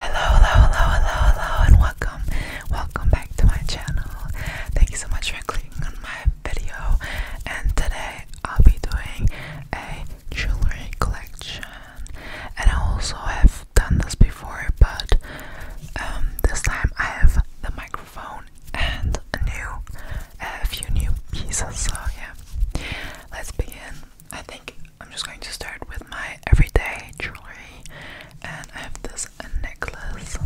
Hello, hello, hello, hello, hello, and welcome, welcome back to my channel. Thank you so much for clicking on my video. And today I'll be doing a jewelry collection. And I also have done this before, but um, this time I have the microphone and a new, a few new pieces. So yeah, let's begin. I think I'm just going to start with my everyday jewelry, and I have this necklace.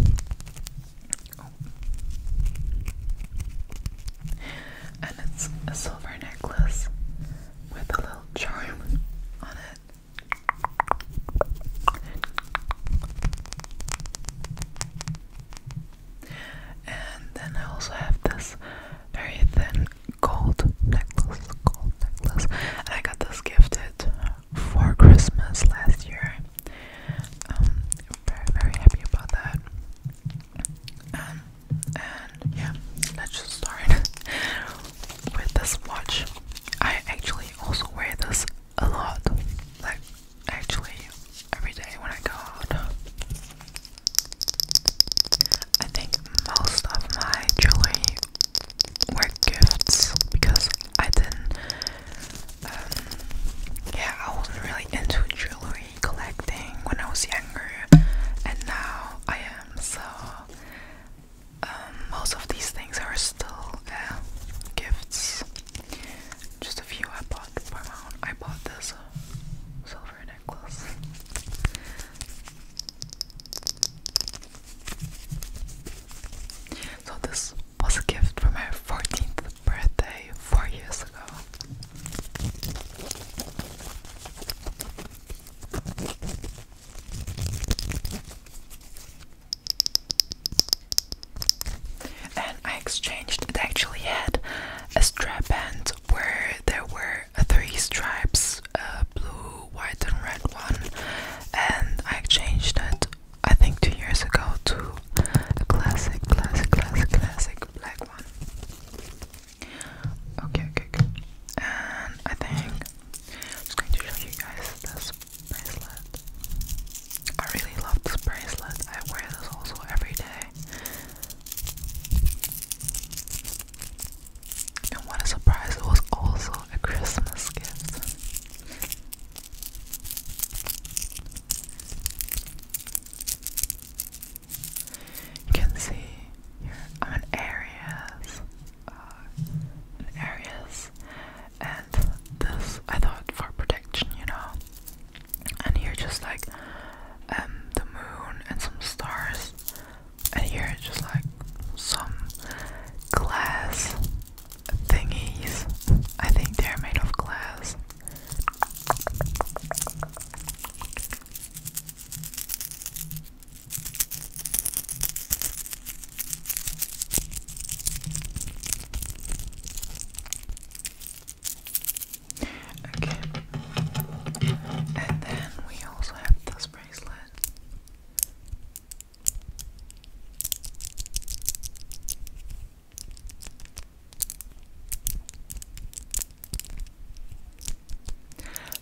And it's a silver necklace with a little charm on it. And then I also have this very thin gold necklace, gold necklace, and I got this gifted for Christmas last year. Um, very, very happy about that. Um, and yeah, let's just start with this watch. I actually also wear this a lot, like actually every day when I go out. I think most of my jewelry were gifts because I didn't, um, yeah, I wasn't really into jewelry collecting when I was younger, and now I am. So, um, most of these things are still uh, gifts. Just a few I bought I bought this uh, silver so this was a gift for my 14th birthday four years ago. And I exchanged, it actually had a strap band where there were are three stripes a blue, white, and red one. And I changed it, I think, two years ago to a classic, classic, classic, classic black one. Okay, okay, okay. And I think I'm just going to show you guys this bracelet. I really love this bracelet, I wear this also every day. And what a surprise, it was also a Christmas gift. You can see here I'm an Aries. Uh, an And this I thought for protection, you know and here just like um, the moon and some stars and here just like some glass thingies I think they're made of glass Okay. And then we also have this bracelet.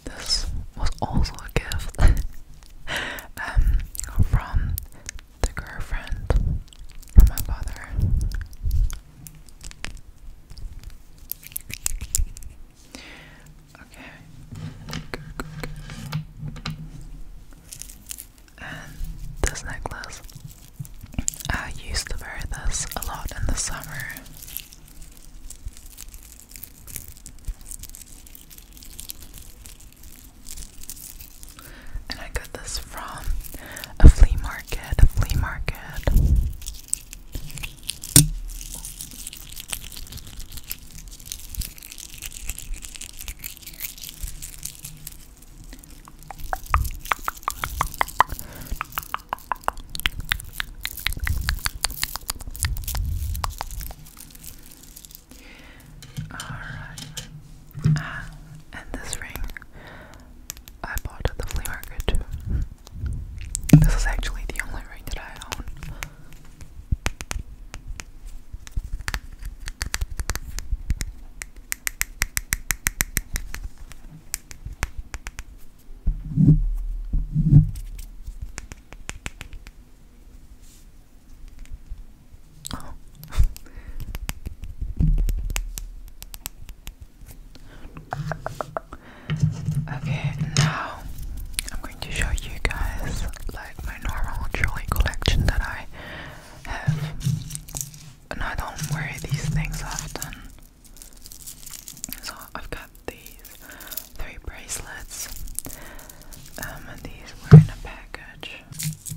This was also a gift um, from the girlfriend from my father. Okay. And this necklace, I used to wear this a lot in the summer. And I got this from a flea market, a flea market and this ring I bought at the flea market This is actually the only ring that I own. Oh. okay, now I'm going to show you guys like my normal jewelry collection that I have, and I don't wear these things often. So I've got these three bracelets, um, and these were in a package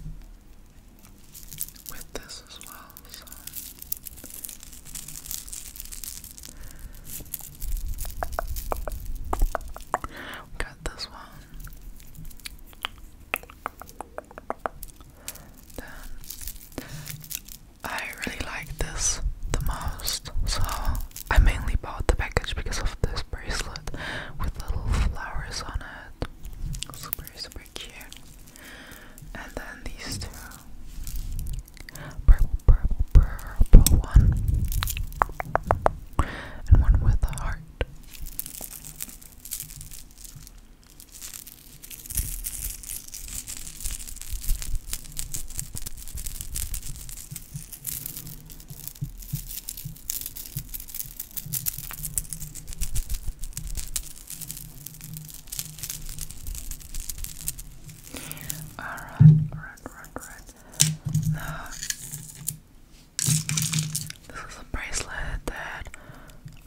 with this as well. So. We got this one. Then I really like this the most, so I mainly bought the package because of this bracelet with little flowers on it. Super, super cute. And then these two purple, purple, purple one, and one with a heart. Alright, alright, alright, alright. this is a bracelet that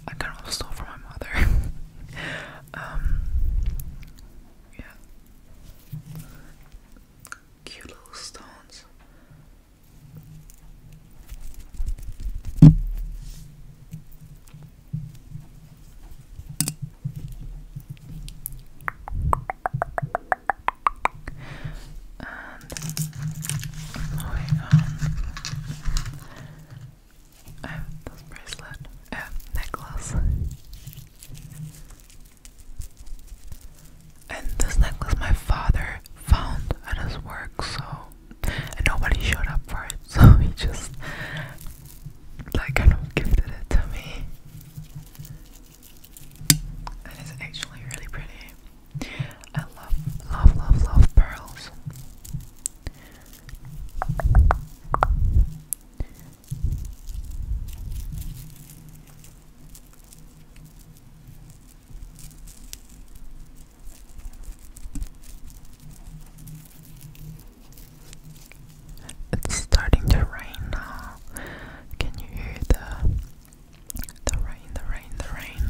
I kind of stole from my mother. um, yeah. Cute little stones moving on. I have this bracelet, uh, necklace. And this necklace my father found at his work, so nobody showed up for it, so he just like kind of gifted it to me. And it's actually really pretty. I love, love, love, love pearls. It's starting to rain now. Can you hear the the rain, the rain, the rain?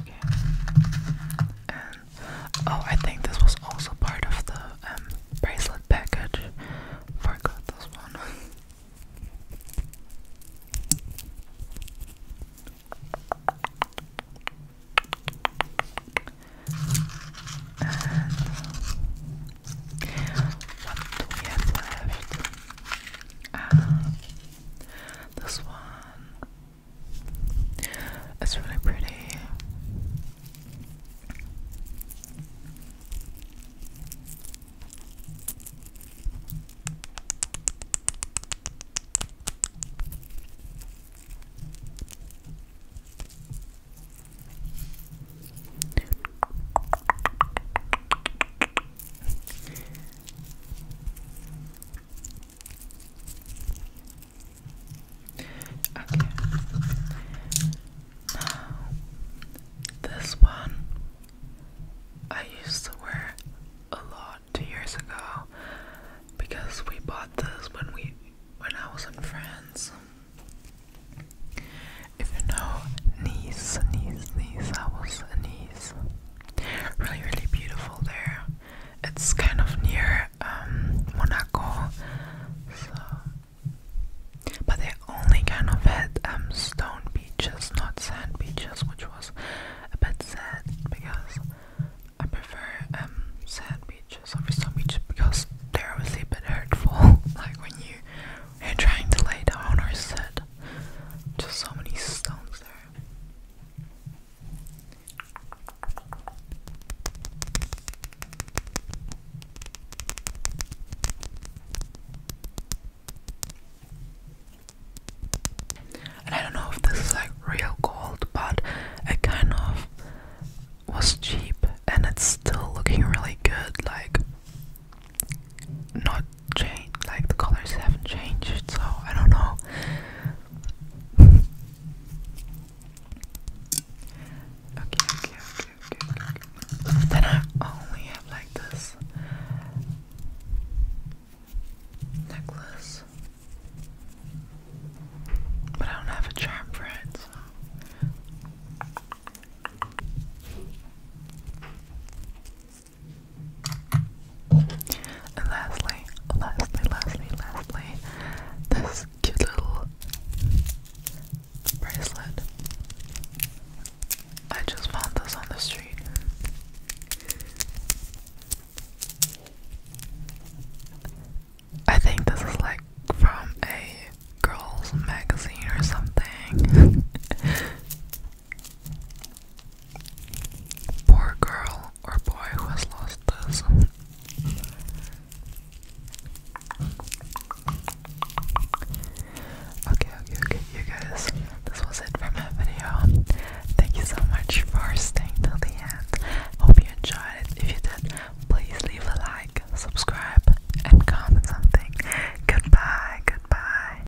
Okay. Oh, I think this was also part of the um, bracelet package. Forgot this one. what do we have left? Ah, this one. That's really pretty. Okay. Now, this one I used to wear a lot two years ago because we bought this when we when I was in France. If you know Nice, Nice, Nice, I was in Nice. Really, really beautiful there. It's kind of near um, Monaco, but they only kind of had um, stone beaches, not sand beaches, which was a bit sad because I prefer um, sand beaches over because they're obviously a bit hurtful, like when you are trying to lay down or sit. Just so many stones there. I don't know if this is like real gold, but it kind of was cheap and it's still looking really good, like not changed, like the colors haven't changed, so I don't know okay, okay, okay, okay, okay. Then I only have like necklace. But I don't have a charm bracelet. And lastly, lastly, lastly, lastly, this cute little bracelet. I just found this on the street. I think this is like from a girls magazine or something. Poor girl or boy who has lost this. Okay, okay, okay, you guys, this was it for my video. Thank you so much for staying till the end. Hope you enjoyed it. If you did, please leave a like, subscribe, and comment something. Goodbye, goodbye.